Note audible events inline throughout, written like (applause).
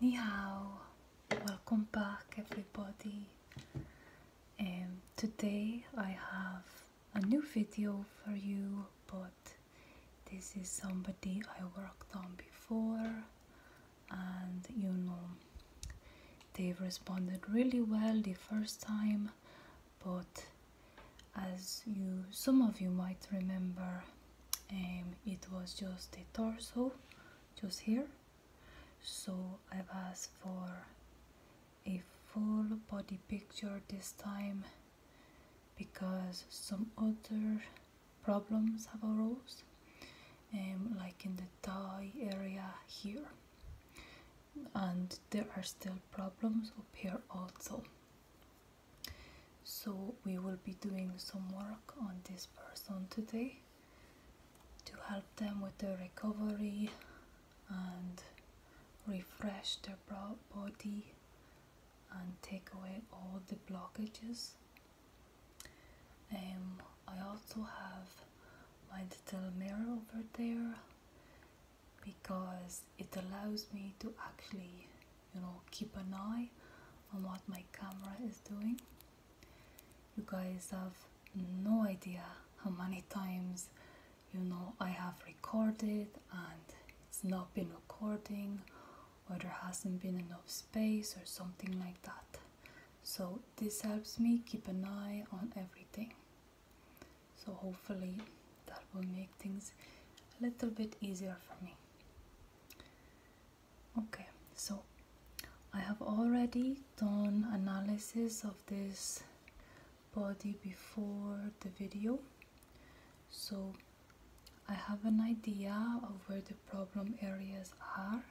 Ni hao. Welcome back everybody. And um, today I have a new video for you but this is somebody I worked on before and you know they have responded really well the first time but as you some of you might remember um, it was just the torso just here so I've asked for a full body picture this time because some other problems have arose um, like in the thigh area here and there are still problems up here also so we will be doing some work on this person today to help them with their recovery and refresh their body and take away all the blockages um, I also have my little mirror over there because it allows me to actually you know keep an eye on what my camera is doing you guys have no idea how many times you know I have recorded and it's not been recording or there hasn't been enough space or something like that so this helps me keep an eye on everything so hopefully that will make things a little bit easier for me okay so I have already done analysis of this body before the video so I have an idea of where the problem areas are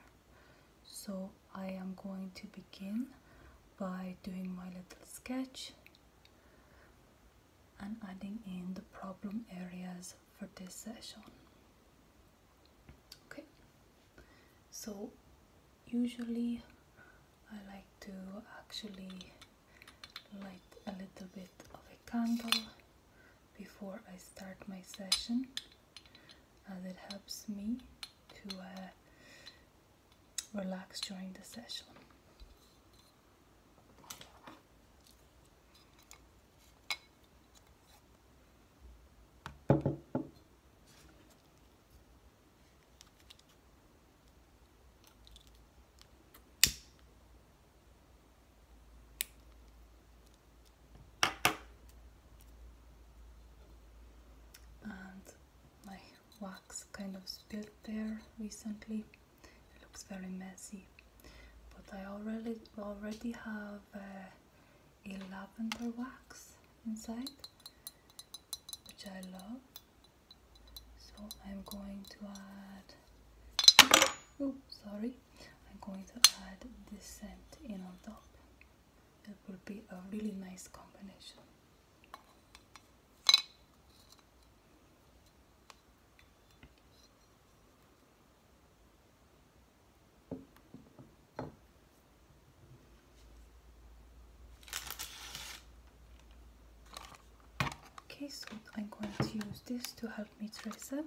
so I am going to begin by doing my little sketch and adding in the problem areas for this session. Okay, so usually I like to actually light a little bit of a candle before I start my session as it helps me to uh, relax during the session and my wax kind of spilled there recently it looks very messy. But I already already have uh, a lavender wax inside, which I love. So I'm going to add. Oh, sorry. I'm going to add this scent in on top. It would be a really nice combination. Okay, so I'm going to use this to help me trace out.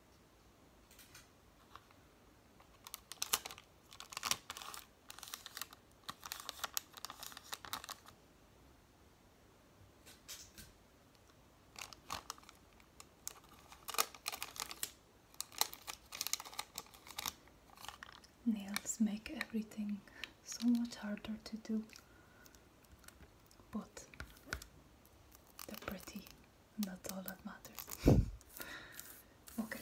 Nails make everything so much harder to do, but they're pretty. That's all that matters. (laughs) okay.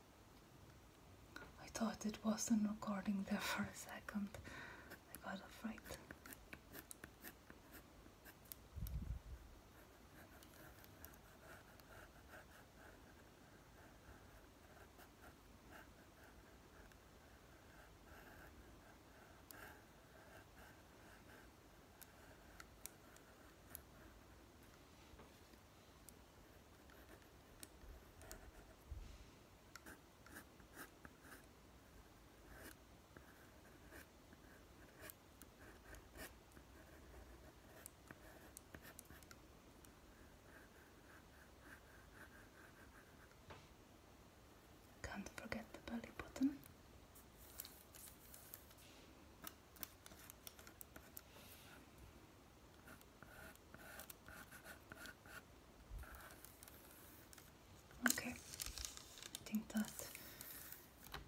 I thought it wasn't recording there for a second. I got a fright. Can't forget the belly button. Okay, I think that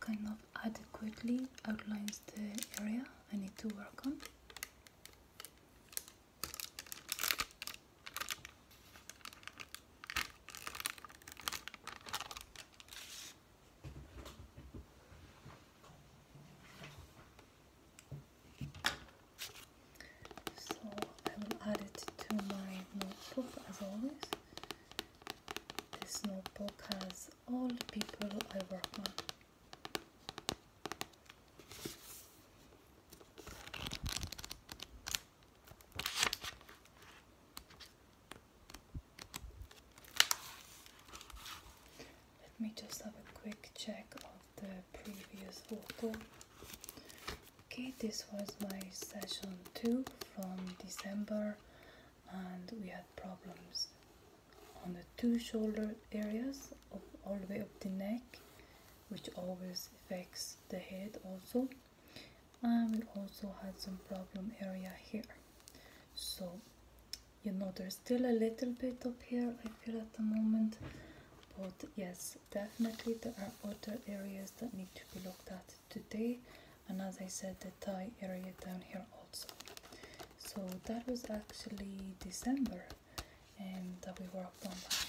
kind of adequately outlines the area I need to work on. So I will add it to my notebook as always. This notebook has all the people I work with. Let me just have a quick check of the previous photo. Okay, this was my session 2 from December and we had problems on the two shoulder areas all the way up the neck which always affects the head also and we also had some problem area here so you know there's still a little bit up here I feel at the moment but yes definitely there are other areas that need to be looked at today and as I said the thigh area down here also so that was actually December and that we worked on that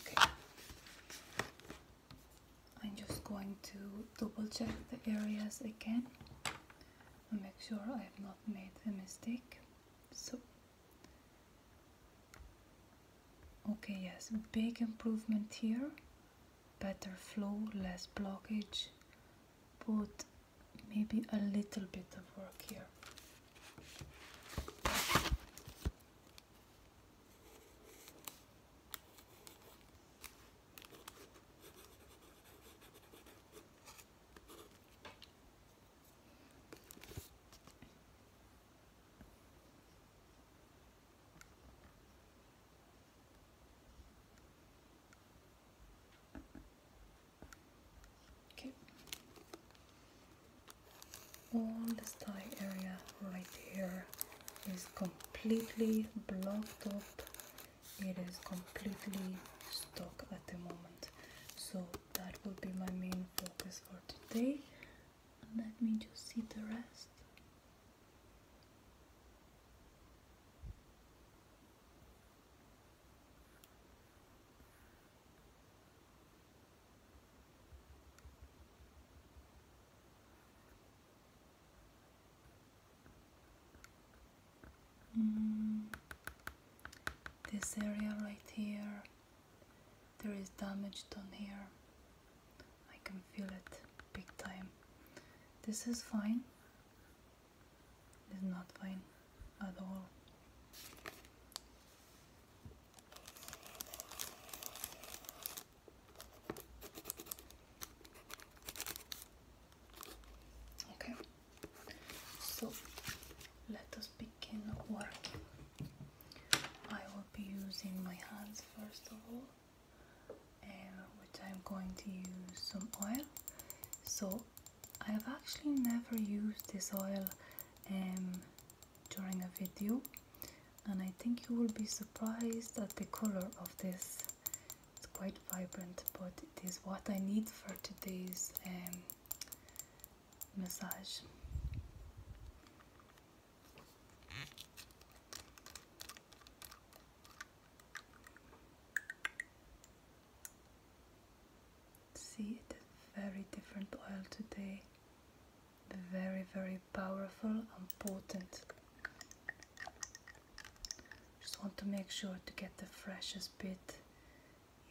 Okay. I'm just going to double check the areas again and make sure I have not made a mistake. So Okay, yes, big improvement here. Better flow, less blockage, but maybe a little bit of work here okay all this thigh area right here is completely blocked up it is completely stuck at the moment so that will be my main focus for today let me just see the rest Mm. This area right here, there is damage done here. I can feel it big time. This is fine is not fine at all. Okay, so let us begin working. I will be using my hands first of all, and uh, which I'm going to use some oil. So I've actually never used this oil um, during a video and I think you will be surprised at the color of this it's quite vibrant but it is what I need for today's um, massage see it very different oil today very very powerful and potent just want to make sure to get the freshest bit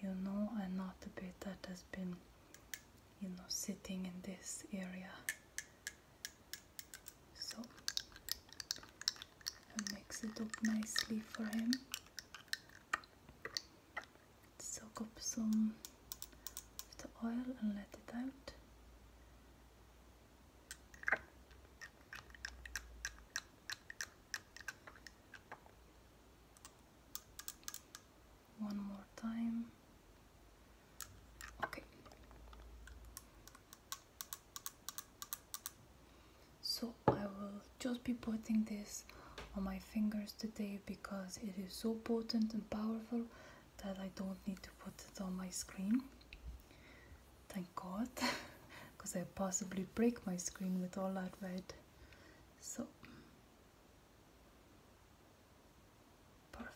you know and not the bit that has been you know sitting in this area so I mix it up nicely for him soak up some of the oil and let it out. One more time. Okay. So I will just be putting this on my fingers today because it is so potent and powerful that I don't need to put it on my screen thank god because (laughs) I possibly break my screen with all that red so perfect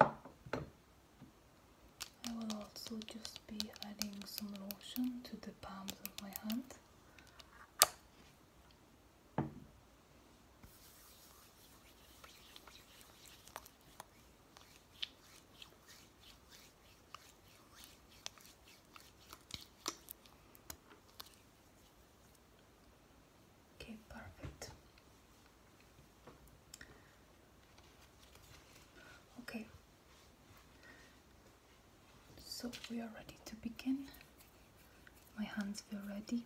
I will also just be adding some lotion to the palms of my hands. Okay, perfect. Okay, so we are ready to begin. My hands feel ready.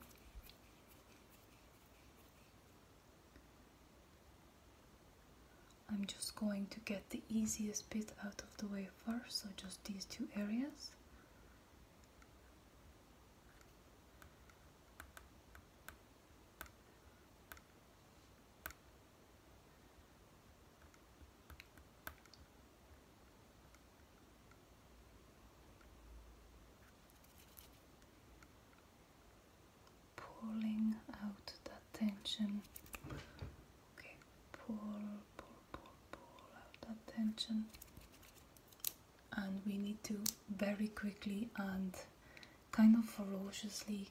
I'm just going to get the easiest bit out of the way first, so just these two areas. Pulling out that tension. Okay, pull, pull, pull, pull out that tension and we need to very quickly and kind of ferociously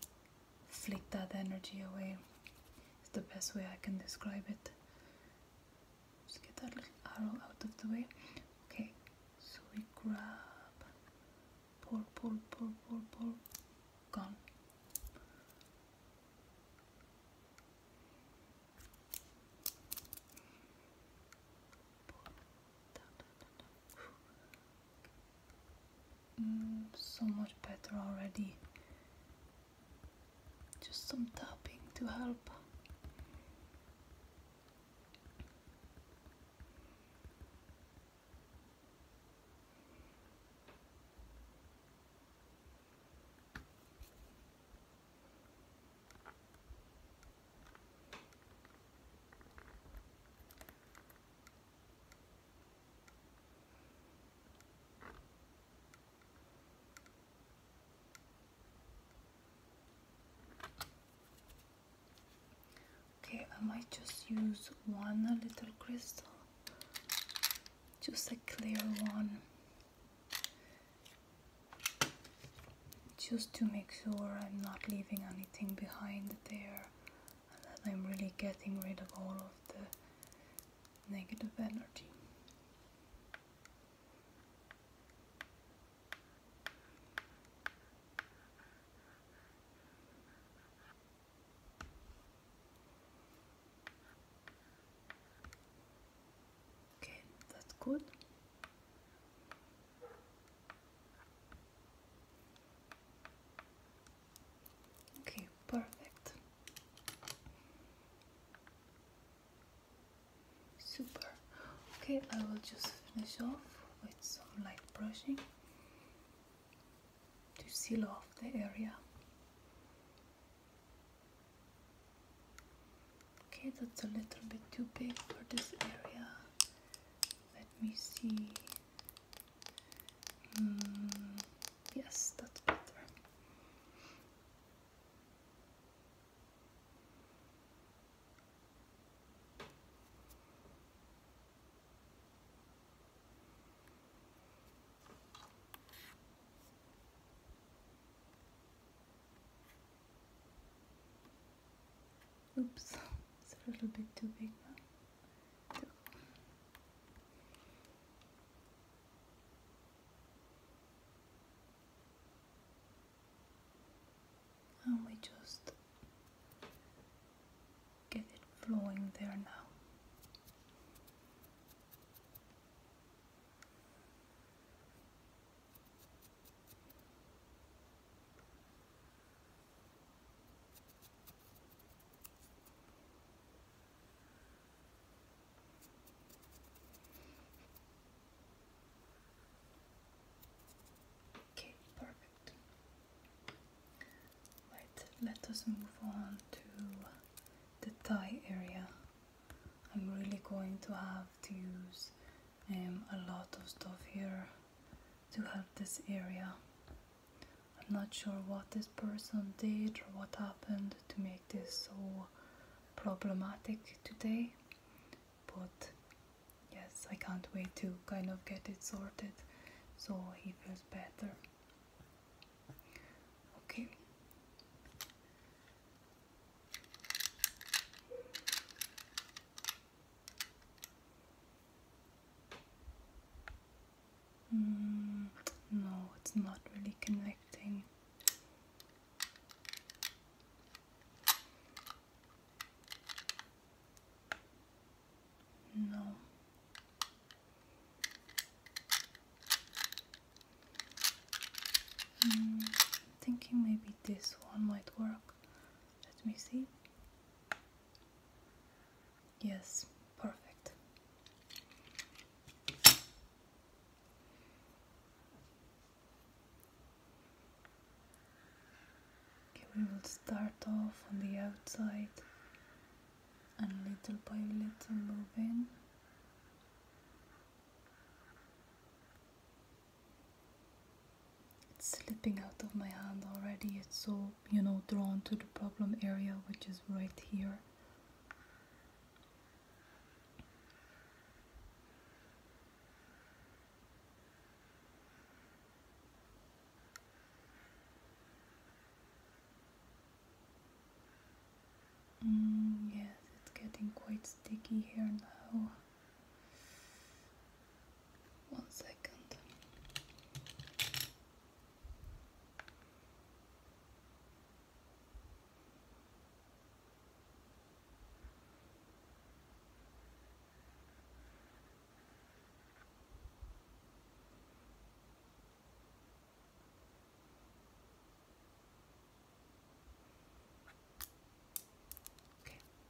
flick that energy away is the best way I can describe it just get that little arrow out of the way okay so we grab pull pull pull pull pull gone pull, Mm, so much better already. Just some tapping to help. Okay, I might just use one little crystal, just a clear one just to make sure I'm not leaving anything behind there that I'm really getting rid of all of the negative energy. Okay, that's good. Okay, perfect. Super. Okay, I will just finish off with some light brushing to seal off the area. Okay, that's a little bit too big for this area let me see. Hmm, yes, that's better. Oops, it's a little bit too big now. And we just get it flowing there now. Okay, perfect. Right, let us move on to the thigh area. I'm really going to have to use um, a lot of stuff here to help this area. I'm not sure what this person did or what happened to make this so problematic today, but yes, I can't wait to kind of get it sorted so he feels better. Okay. Mm, no, it's not really connecting. No. I'm mm, thinking maybe this one might work. Let me see. Yes, perfect. Okay, we will start off on the outside and little by little move in. It's slipping out of my hand already. It's so, you know, drawn to the problem area, which is right here. Mm, yes, it's getting quite sticky here now. One second. Okay.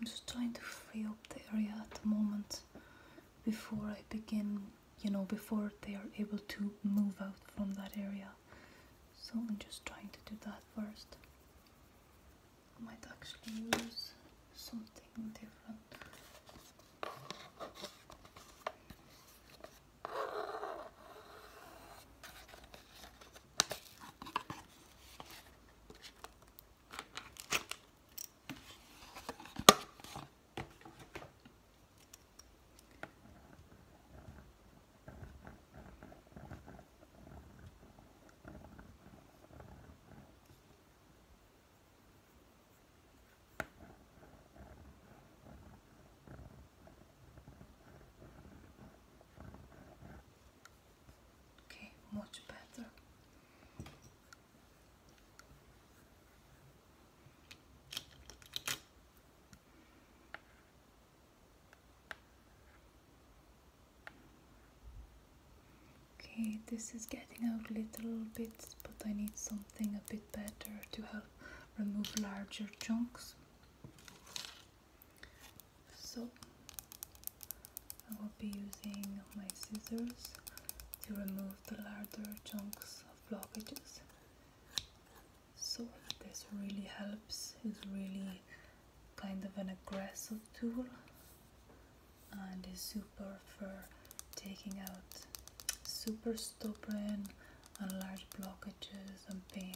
I'm just trying to free up the area at the moment before I begin, you know, before they are able to move out from that area. So I'm just trying to do that first. I might actually use something different. Okay, much better. Okay, this is getting out little bits, but I need something a bit better to help remove larger chunks. So I will be using my scissors to remove the larger chunks of blockages. So this really helps, it's really kind of an aggressive tool and is super for taking out super stubborn and large blockages and pain.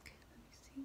Okay, let me see.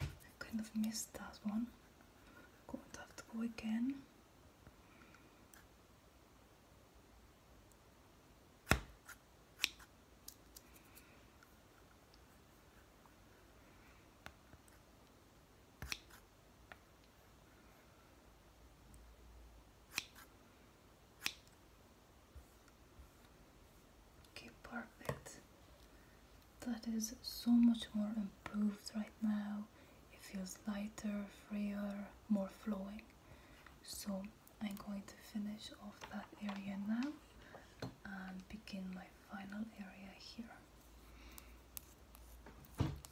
I kind of missed that one. Gonna have to go again. Okay, perfect. That is so much more improved right now. It feels lighter, freer, more flowing. So I'm going to finish off that area now and begin my final area here.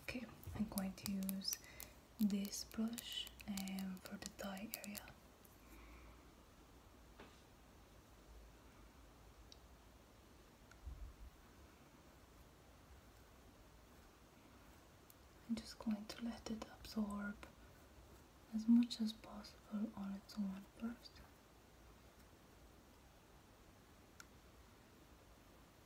Okay, I'm going to use this brush and um, for the dye area. I'm just going to let it absorb as much as possible on its own first.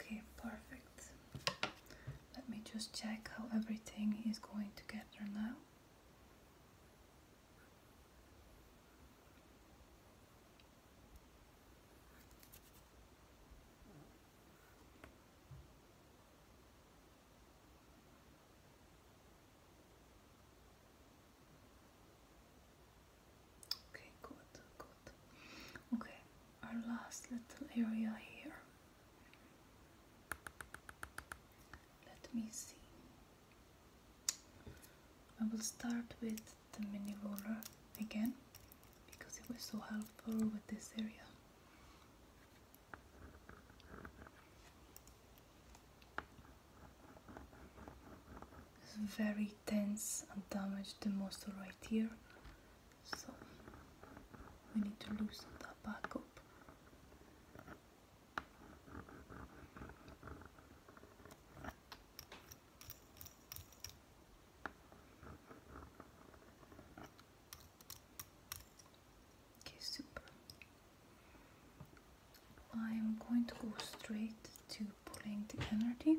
Okay, perfect. Let me just check how everything is going together now. Okay, good, good. Okay, our last little area here. Let me see. I will start with the mini roller again because it was so helpful with this area. It's very dense and damaged the muscle right here, so we need to loosen that back up. Okay, super. I'm going to go straight to pulling the energy.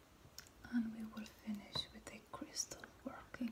and we will finish with a crystal working.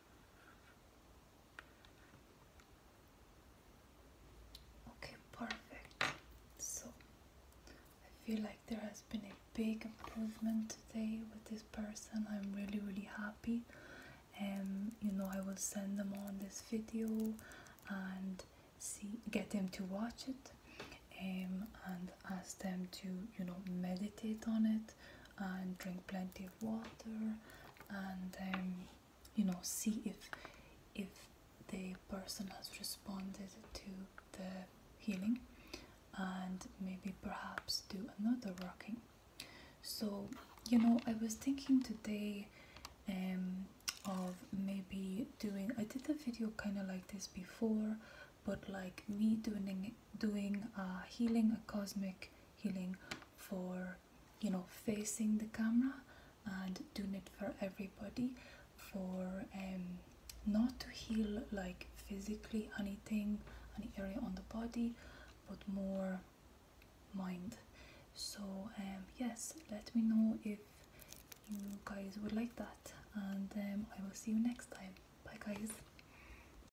Okay, perfect. So I feel like there has been a big improvement today with this person. I'm really, really happy. And um, you know, I will send them on this video and see get them to watch it um, and ask them to you know meditate on it and drink plenty of water and um, you know see if if the person has responded to the healing and maybe perhaps do another rocking. so you know i was thinking today um, of maybe doing i did a video kind of like this before but like me doing doing a healing, a cosmic healing for you know facing the camera and doing it for everybody for um, not to heal like physically anything any area on the body but more mind so um, yes let me know if you guys would like that and um, I will see you next time bye guys